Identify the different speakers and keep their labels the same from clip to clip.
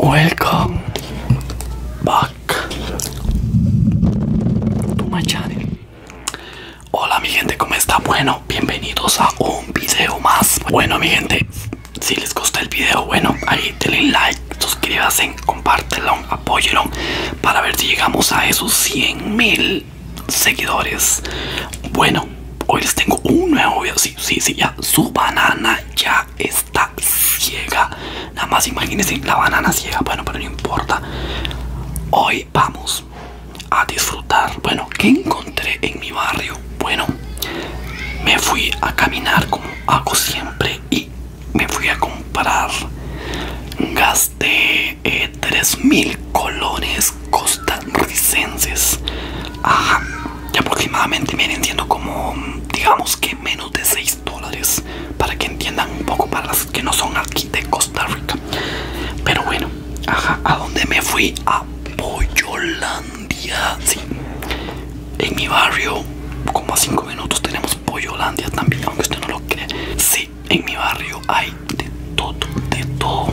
Speaker 1: Welcome back to my channel. Hola mi gente, ¿cómo está? Bueno, bienvenidos a un video más. Bueno mi gente, si les gusta el video, bueno, ahí denle like, suscríbanse, compártelo, apóyenlo para ver si llegamos a esos 100 mil seguidores. Bueno, hoy les tengo un nuevo video, sí, sí, ya. Su banana ya está ciega. Nada más imagínense la banana ciega. Bueno, pero no importa. Hoy vamos a disfrutar. Bueno, ¿qué encontré en mi barrio? Bueno, me fui a caminar como hago siempre y me fui a comprar. Gasté 3.000 eh, colones costarricenses. Ajá y aproximadamente vienen entiendo como digamos que menos de 6 dólares para que entiendan un poco para las que no son aquí de Costa Rica pero bueno ajá a dónde me fui a Pollolandia sí en mi barrio como a 5 minutos tenemos Pollolandia también aunque usted no lo cree sí en mi barrio hay de todo de todo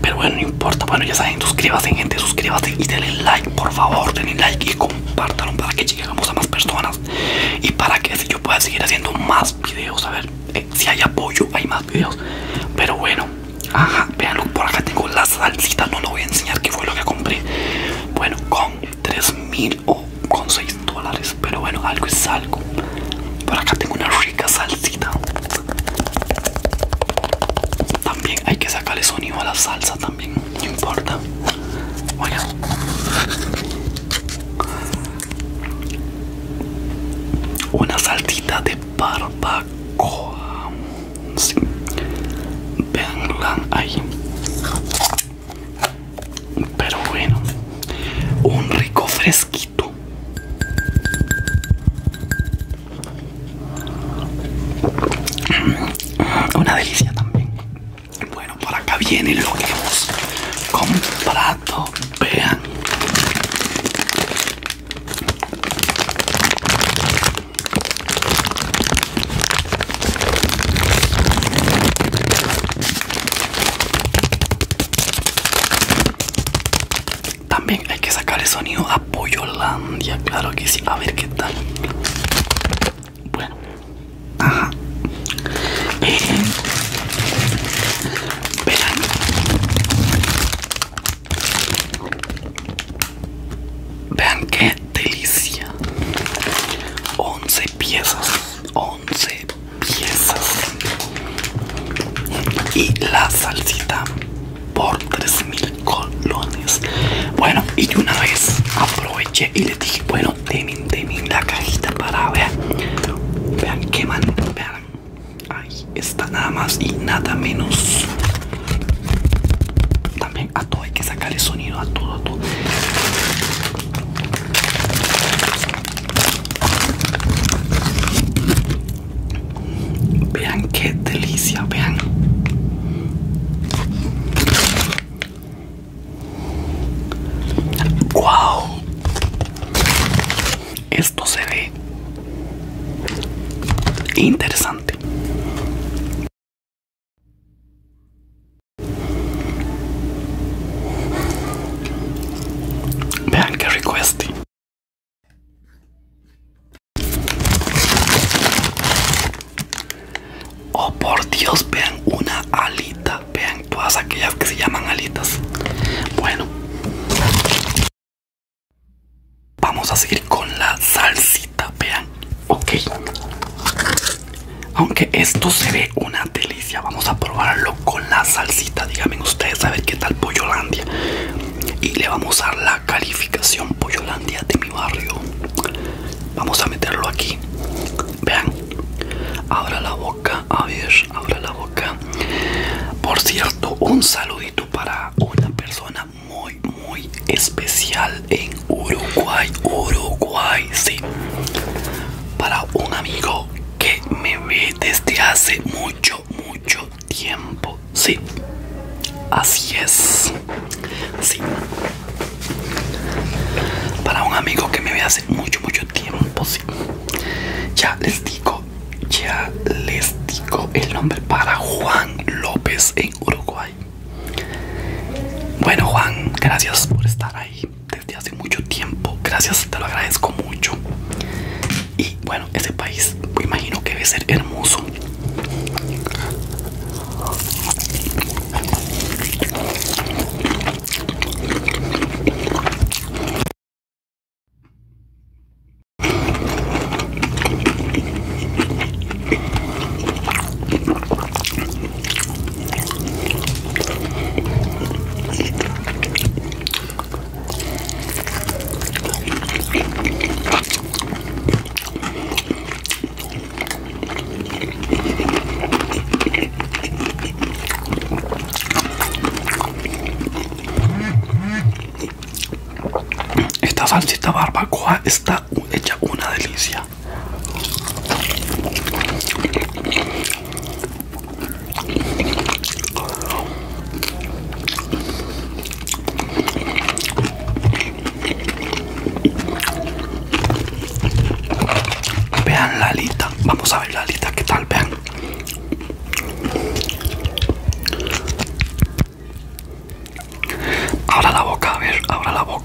Speaker 1: pero bueno bueno, ya saben, suscríbanse, gente, suscríbanse y denle like, por favor, denle like y compártanlo para que lleguemos a más personas y para que yo pueda seguir haciendo más videos. A ver, eh, si hay apoyo, hay más videos. Pero bueno, ajá, veanlo, por acá tengo la salsita, no lo voy a enseñar qué fue lo que compré. Bueno, con 3000 o con 6 dólares, pero bueno, algo es algo. Por acá tengo una rica salsita hay que sacarle sonido a la salsa también, no importa. Una saltita de barbacoa. Veanla ahí. Pero bueno. Un rico fresquito. Mm, una delicia también. Bueno, por acá viene lo que hemos comprado. Vean. También hay que sacar el sonido a claro que sí. A ver qué tal. Bueno, ajá. Vean. Eh, Vean qué delicia. 11 piezas. 11 piezas. Y la salsita por 3000 colones bueno y una vez aproveché y les dije bueno temen temen la cajita para ver vean que man vean ahí está nada más y nada menos también a todo hay que el sonido a todo a todo Vean qué delicia, vean. ¡Wow! Esto se ve interesante. Vean qué rico este. Oh por Dios, vean una alita, vean todas aquellas que se llaman alitas. Bueno, vamos a seguir con la salsita, vean. Ok, aunque esto se ve una delicia, vamos a probarlo con la salsita. Díganme ustedes ¿saben qué tal Pollolandia y le vamos a dar la calificación Pollolandia de mi barrio. Vamos a meterlo aquí. Vean, abra la boca, a ver, abra la boca. Por cierto, un saludito para una persona muy, muy especial en Uruguay, Uruguay, sí. Para un amigo que me ve desde hace mucho, mucho tiempo. Sí, así es. Sí. Para un amigo que me ve hace mucho, mucho tiempo, sí. Ya les digo, ya les digo el nombre para Juan López en Uruguay. Bueno, Juan, gracias por estar ahí desde hace mucho tiempo. Gracias, te lo agradezco mucho. Y bueno, ese país me imagino que debe ser hermoso. Esta salsita barbacoa está hecha una delicia. Vean la alita, vamos a ver la alita, ¿qué tal? Vean. Abra la boca, a ver, abra la boca.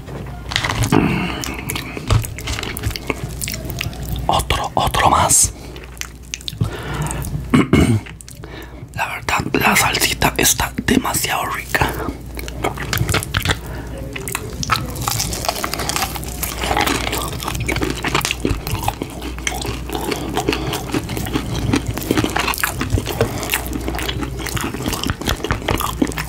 Speaker 1: Otro, otro más. La verdad, la salsita está demasiado rica.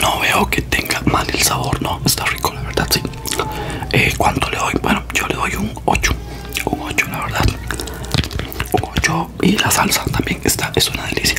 Speaker 1: No veo que tenga mal el sabor, no, está rico, la verdad, sí. Eh, ¿Cuánto le doy? Bueno, yo le doy un 8, un 8, la verdad. Un 8 y la salsa también está, es una delicia.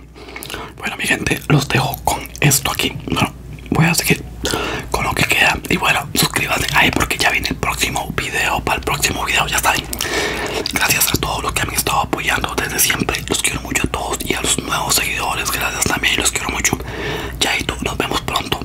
Speaker 1: Bueno, mi gente, los dejo con esto aquí. Bueno, voy a seguir con lo que queda. Y bueno, suscríbanse ahí porque ya viene el próximo video. Para el próximo video, ya está Gracias a todos los que me han estado apoyando desde siempre. Los quiero mucho a todos y a los nuevos seguidores. Gracias también, los quiero mucho. ya tú nos vemos pronto.